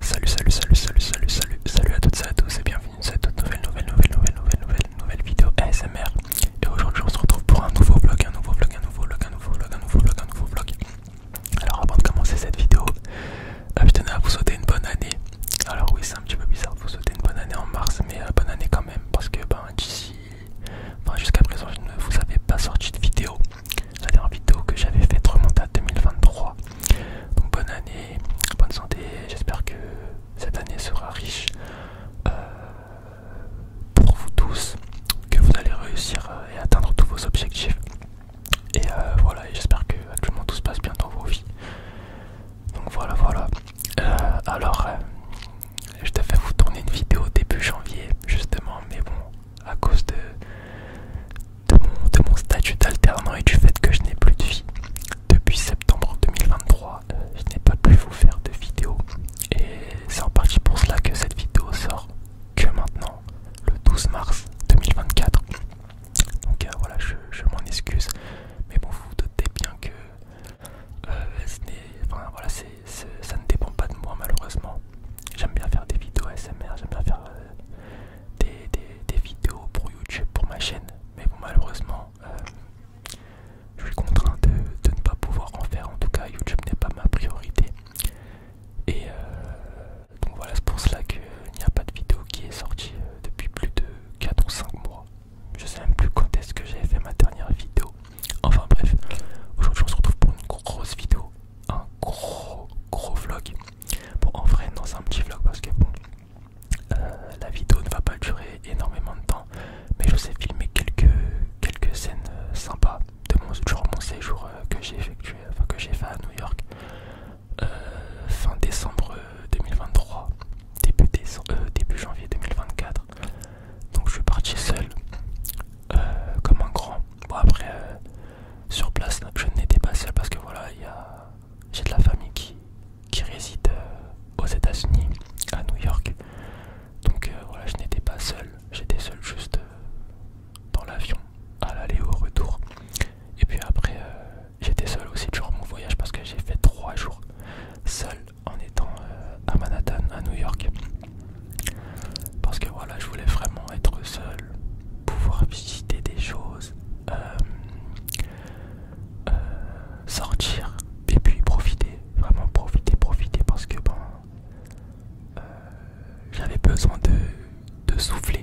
Salut, salut, salut, salut, salut, salut, salut à toutes et à tous et bienvenue dans cette nouvelle, nouvelle, nouvelle, nouvelle, nouvelle, nouvelle, nouvelle vidéo ASMR. Et aujourd'hui, on se retrouve pour un nouveau vlog, un nouveau vlog, un nouveau vlog, un nouveau vlog, un nouveau vlog, nouveau Alors, avant de commencer cette vidéo, je tenais à vous souhaiter une bonne année. Alors, oui, c'est un petit peu bizarre de vous souhaiter une bonne année en mars, mais euh, bonne année quand même parce que ben, d'ici, enfin, jusqu'à présent, je ne vous avais pas sorti de vidéo la dernière vidéo que j'avais faite remonte à 2023. Donc bonne année, bonne santé, j'espère que cette année sera riche euh, pour vous tous, que vous allez réussir euh, et atteindre tous vos objectifs. Et euh, voilà, j'espère que actuellement tout se passe bien dans vos vies. Donc voilà, voilà. alors, je devais vous tourner une vidéo début janvier, justement, mais bon, à cause de, de mon, statut d'alternant et du fait que je n'ai plus de vie. Depuis septembre 2023, euh, je n'ai pas pu vous faire de vidéo. Et c'est en partie pour cela que cette vidéo sort que maintenant, le 12 mars 2024. Donc euh, voilà, je, m'en excuse. Mais bon, vous vous doutez bien que euh, ça ne dépend pas de moi malheureusement. J'aime bien faire des vidéos ASMR, j'aime bien faire des, vidéos pour YouTube, pour ma chaîne, mais bon, malheureusement, euh, je suis contraint de, ne pas pouvoir en faire. En tout cas, YouTube n'est pas ma priorité. Et euh, donc voilà, c'est pour cela qu'il euh, n'y a pas de vidéo qui est sortie depuis plus de 4 ou 5 mois. Je sais même plus quand est-ce que j'ai fait ma dernière vidéo. Enfin bref, aujourd'hui on se retrouve pour une grosse vidéo, un gros gros vlog. Bon, en vrai, dans un petit vlog parce que bon, euh, la vidéo ne va pas durer énormément de temps, mais je vous filmer quelques, quelques scènes euh, sympas de mon, mon séjour euh, que j'ai effectué, enfin que j'ai fait à New York fin décembre 2023, début, début janvier 2024. Donc je suis parti seul, comme un grand. Bon, après sur place, je n'étais pas seul parce que voilà, j'ai de la famille qui, qui réside euh, aux États-Unis, à New York. Donc euh, voilà, je n'étais pas seul, j'étais seul juste euh, dans l'avion, à l'aller au retour. Et puis après, j'étais seul aussi durant mon voyage parce que j'ai fait trois jours seul en étant à Manhattan, à New York. Parce que voilà, je voulais vraiment être seul, pouvoir visiter des choses, euh, euh, sortir et puis profiter, vraiment profiter, profiter parce que bon euh, j'avais besoin de, souffler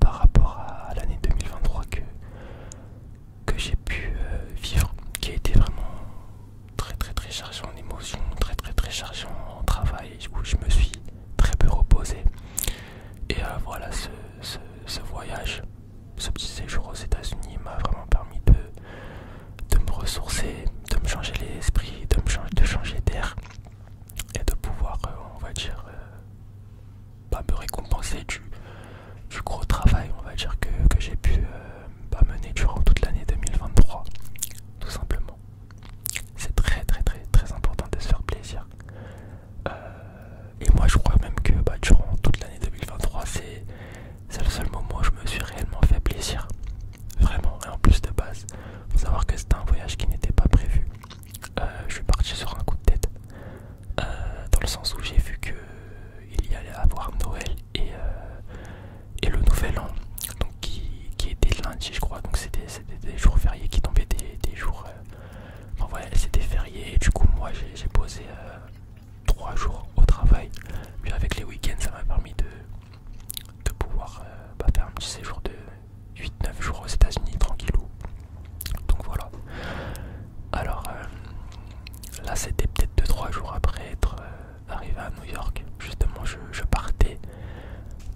par rapport à l'année 2023 que, que j'ai pu vivre, qui a été vraiment très très très chargé en émotions, très très très chargé en travail, où je me suis très peu reposé. Et euh, voilà, ce, ce, voyage, ce petit séjour aux États-Unis m'a vraiment permis de, de me ressourcer, de me changer l'esprit, de, me changer, de changer d'air et de pouvoir, euh, on va dire, euh, pas me récompenser du, gros travail, on va dire, que, j'ai pu bah, mener durant toute l'année 2023, tout simplement. C'est très très très très important de se faire plaisir. Euh, et moi je crois même que bah, durant toute l'année 2023, c'est le seul moment où je me suis réellement fait plaisir. Vraiment, et en plus de base, faut savoir que c'était un voyage qui n'était pas prévu. Euh, je suis parti sur un coup de tête. Euh, dans le sens où j'ai vu que il y allait avoir Noël et, et le nouvel an donc qui, qui était lundi je crois donc c'était des jours fériés qui tombaient des, jours euh, enfin voilà c'était férié du coup moi j'ai posé euh, trois jours au travail Mais avec les week-ends ça m'a permis de, pouvoir euh, bah, faire un petit séjour de 8-9 jours aux états unis tranquillou donc voilà alors là c'était peut-être 2-3 jours après être euh, arrivé à New York, justement je, partais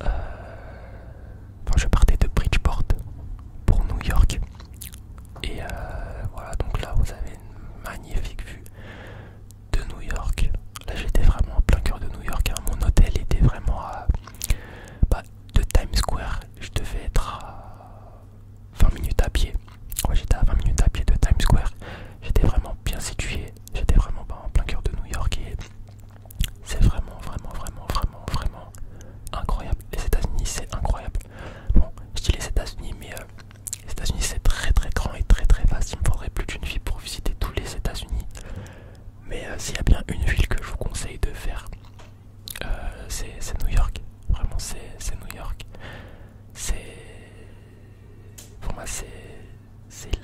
euh, enfin je partais de Bridgeport pour New York et euh, voilà donc là vous avez une magnifique vue de New York. Là j'étais vraiment en plein cœur de New York. Hein. Mon hôtel était vraiment à bah, de Times Square. Je devais être à 20 minutes à pied. moi j'étais à 20 minutes à pied de Times Square. J'étais vraiment bien situé. J'étais vraiment bah, en plein cœur de New York et c'est vraiment, vraiment, vraiment, vraiment, vraiment incroyable. Les États-Unis, c'est incroyable. Bon, je dis les États-Unis, mais euh, les États-Unis, c'est très, très grand et très, très vaste. Il me faudrait plus d'une vie pour visiter tous les États-Unis. Mais euh, s'il y a bien une ville que je vous conseille de faire, euh, c'est New York. Vraiment, c'est New York. C'est pour moi, c'est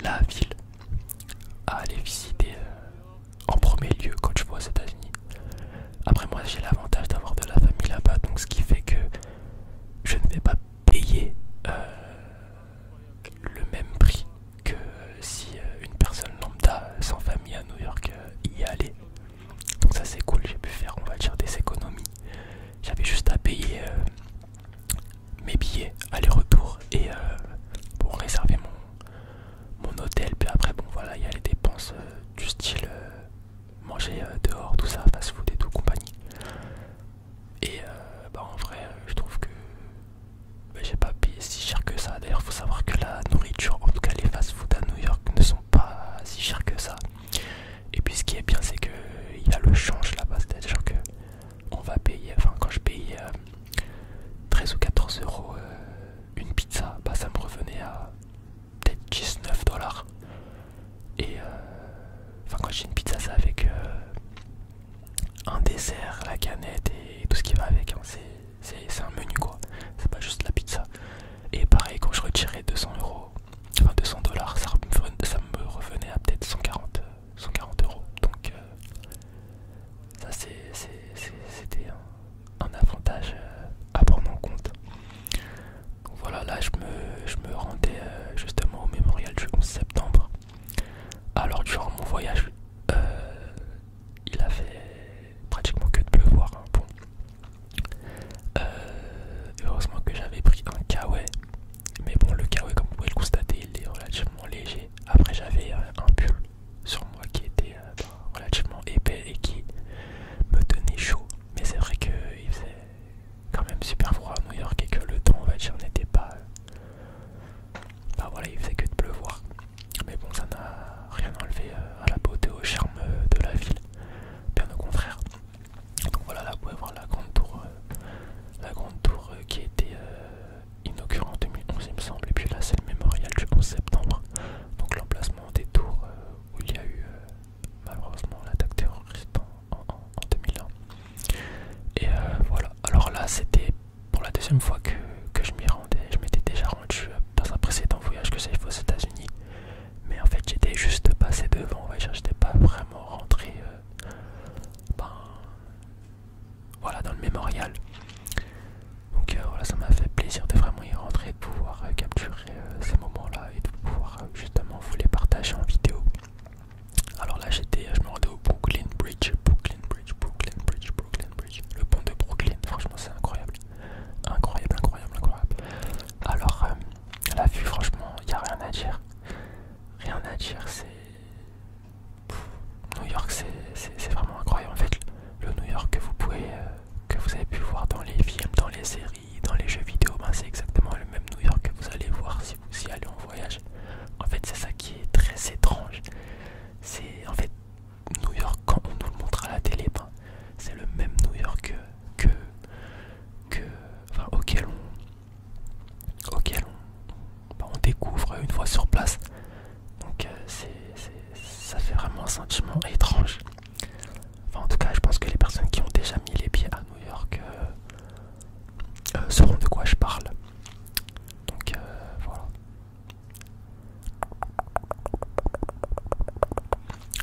la ville à aller visiter euh, en premier lieu quand je vois aux États-Unis. Après, moi, j'ai l'avantage d'avoir de la famille là-bas, donc ce qui fait que je ne vais pas payer euh, le même prix que si euh, une personne lambda sans famille à New York y allait. Donc, ça, c'est cool. J'ai pu faire, on va dire, des économies. J'avais juste à payer mes billets aller-retour et euh, pour réserver mon, mon hôtel. Puis après, bon voilà, il y a les dépenses euh, du style euh, manger dehors, tout ça, fast food et tout, compagnie. Et bah en vrai, je trouve que bah, j'ai pas payé si cher que ça. D'ailleurs, faut savoir que la nourriture, en tout cas les fast food à New York, ne sont pas si chers que ça. Et puis ce qui est bien, c'est que il y a le change là-bas, c'est-à-dire que on va payer, enfin quand je paye euh, 13 ou 14 euros euh, une pizza, bah ça me revenait à peut-être 19 dollars. Et euh, enfin quand j'ai une pizza, ça avec un dessert, la canette et tout ce qui va avec. Hein. C'est un menu quoi, c'est pas juste la pizza. Et pareil, quand je retirais 200 euros, enfin 200 dollars, ça me revenait à peut-être 140 140 euros. Donc euh, ça c'était un, avantage euh, à prendre en compte. voilà, là je me, rendais euh, justement au mémorial du 11 septembre. Alors durant mon voyage, il a fait pratiquement que de pleuvoir. Hein, bon. heureusement que j'avais pris un kawaii mais bon, le chaos, comme vous pouvez le constater, il est relativement léger. Après, j'avais euh, un pull sur moi qui était euh, ben, relativement épais et qui me tenait chaud. Mais c'est vrai qu'il faisait quand même super froid à New York et que le temps, on va dire, n'était pas. Bah voilà, il faisait que de pleuvoir. Mais bon, ça n'a rien enlevé à la beauté, au charme de la ville. Bien au contraire voilà, là vous pouvez voir la grande tour, euh, la grande tour euh, qui a été euh, inaugurée en 2011 il me semble. Et puis là c'est le mémorial du 11 septembre. Donc l'emplacement des tours où il y a eu malheureusement l'attaque terroriste en, 2001. Et voilà, alors là c'était pour la deuxième fois que, je m'y rendais. Je m'étais déjà rendu dans un précédent voyage que c'est fait aux États-Unis. Mais en fait j'étais juste passé devant, je j'étais pas vraiment rentré. Euh, ben, voilà, dans le mémorial. Donc euh, voilà, ça m'a fait plaisir de vraiment y rentrer, de pouvoir euh, capturer ces moments-là et de pouvoir justement vous les partager en vidéo. Alors là, j'étais, je me rendais au Brooklyn Bridge, Brooklyn Bridge, Brooklyn Bridge, Brooklyn Bridge, le pont de Brooklyn. Franchement, c'est incroyable, incroyable, incroyable, incroyable. Alors la vue, franchement, il n'y a rien à dire, rien à dire. C'est New York, c'est vraiment incroyable. En fait, le New York que vous pouvez, euh, avez pu voir dans les films, dans les séries, dans les jeux vidéo, ben, c'est exactement le même New York que vous allez voir si vous y allez en voyage. En fait, c'est ça qui est très étrange. C'est en fait New York quand on nous le montre à la télé, ben, c'est le même New York que, auquel on auquel bah, on, découvre une fois sur place. Donc euh, ça fait vraiment un sentiment étrange. en tout cas, je pense que les personnes qui ont déjà mis les pieds à New York euh, euh, sauront de quoi je parle. Donc voilà.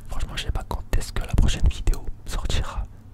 Franchement, je sais pas quand est-ce que la prochaine vidéo sortira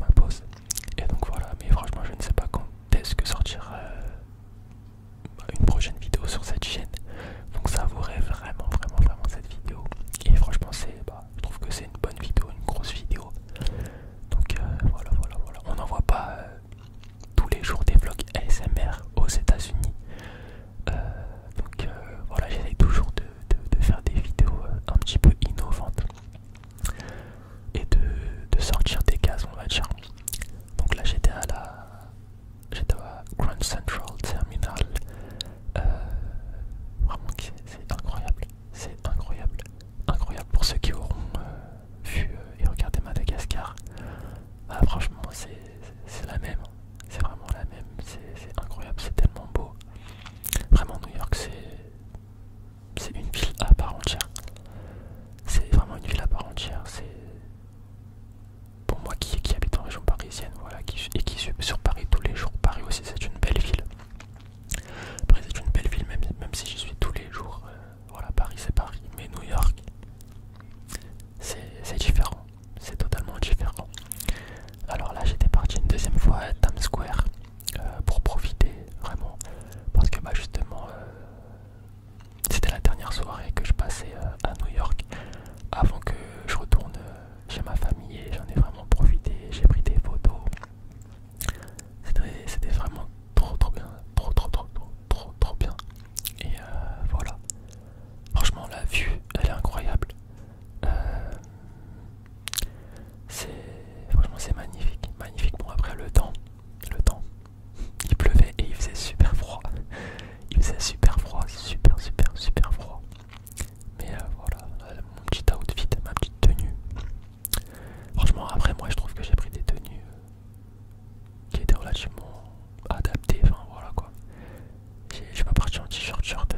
ma pause. Et donc voilà, mais franchement, je ne sais pas quand est-ce que sortira euh, une prochaine vidéo sur cette chaîne. Donc ça vaudrait vraiment, vraiment, vraiment cette vidéo. Et franchement, c'est, bah, je trouve que c'est une bonne vidéo, une grosse vidéo. Donc euh, voilà, voilà, voilà. On n'en voit pas euh, tous les jours des vlogs ASMR aux États-Unis. donc voilà, j'essaie toujours de, faire des vidéos un petit peu innovantes et de, sortir des cases, on va dire. Donc là, j'étais à la j'étais Grand Central Terminal. Euh, vraiment, c'est incroyable, c'est incroyable, incroyable pour ceux qui auront euh, vu euh, et regardé Madagascar. Ah, franchement, c'est la même, hein. c'est vraiment la même, c'est incroyable, c'est tellement beau. Vraiment, New York, c'est c'est une ville à part entière. C'est vraiment une ville à part entière. C'est pour moi qui, habite en région parisienne, voilà, et qui suis sur Paris tous les jours. Paris aussi, c'est une belle ville. Paris, c'est une belle ville, même, si je suis tous les jours. Euh, voilà, Paris, c'est Paris. Mais New York, c'est différent. C'est totalement différent. Alors là, j'étais parti une deuxième fois à Times Square. Euh, pour profiter vraiment parce que bah justement euh, c'était la dernière soirée que je passais euh, à New York avant que je retourne chez ma famille et j'en ai vraiment profité, j'ai pris des photos. C'était vraiment trop trop bien, trop trop trop trop trop, trop bien. Et voilà. Franchement la vue elle est incroyable. C'est franchement c'est magnifique, magnifique. Bon après le temps, le temps. Il pleuvait et il faisait super froid. Il faisait super froid, super super super froid. Mais euh, voilà, euh, mon petit outfit, ma petite tenue. Franchement après moi je trouve que j'ai pris des tenues euh, qui étaient relativement adaptées. Enfin voilà quoi. Je suis pas parti en t-shirt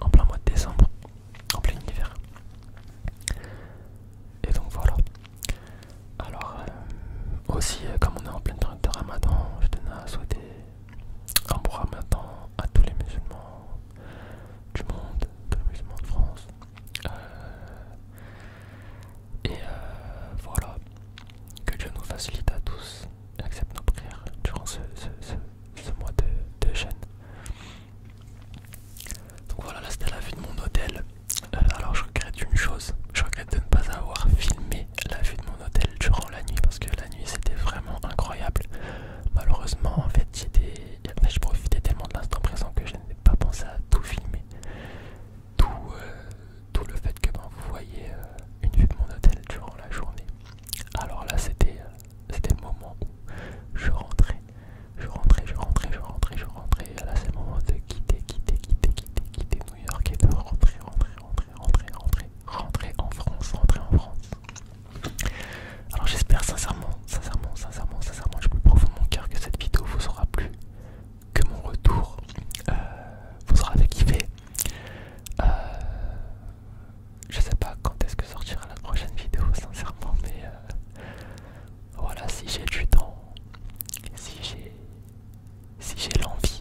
en plein mois de décembre en plein hiver. Et donc voilà. Alors euh, aussi euh, comme on est en plein période de Ramadan, je tenais à souhaiter un bon Ramadan à tous les musulmans du monde, tous les musulmans de France. Euh, et voilà, que Dieu nous facilite à tous et accepte nos prières durant ce, mois de, de jeûne. Donc voilà, là c'était la vue de mon hôtel. Euh, alors je regrette une chose, je regrette de ne pas avoir filmé la vue de mon hôtel durant la nuit parce que la nuit c'était vraiment incroyable. Malheureusement, en fait, j'étais, je profitais tellement de l'instant présent que je n'ai pas pensé à tout filmer. Tout, euh, le fait que ben, vous voyez euh, une vue de mon hôtel durant la journée. Alors là, c'était c'était le moment où je rentrais, je rentrais, je rentrais, je rentrais, je rentrais. Et là, c'est le moment de quitter, quitter, quitter, quitter, quitter New York et de rentrer, rentrer, rentrer, rentrer, rentrer, rentrer en France, rentrer en France. Alors, j'espère sincèrement, sincèrement, sincèrement, sincèrement, je peux profond mon cœur que cette vidéo vous aura plu, que mon retour euh, vous aura fait euh, je sais pas quand est-ce que sortira la prochaine vidéo sincèrement mais euh, voilà si j'ai du temps si j'ai si j'ai l'envie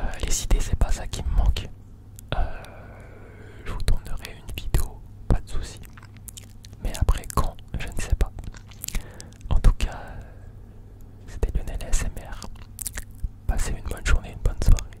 euh, les idées c'est pas ça qui me manque euh, je vous tournerai une vidéo pas de souci mais après quand je ne sais pas en tout cas c'était Lionel SMR passez une bonne journée une bonne soirée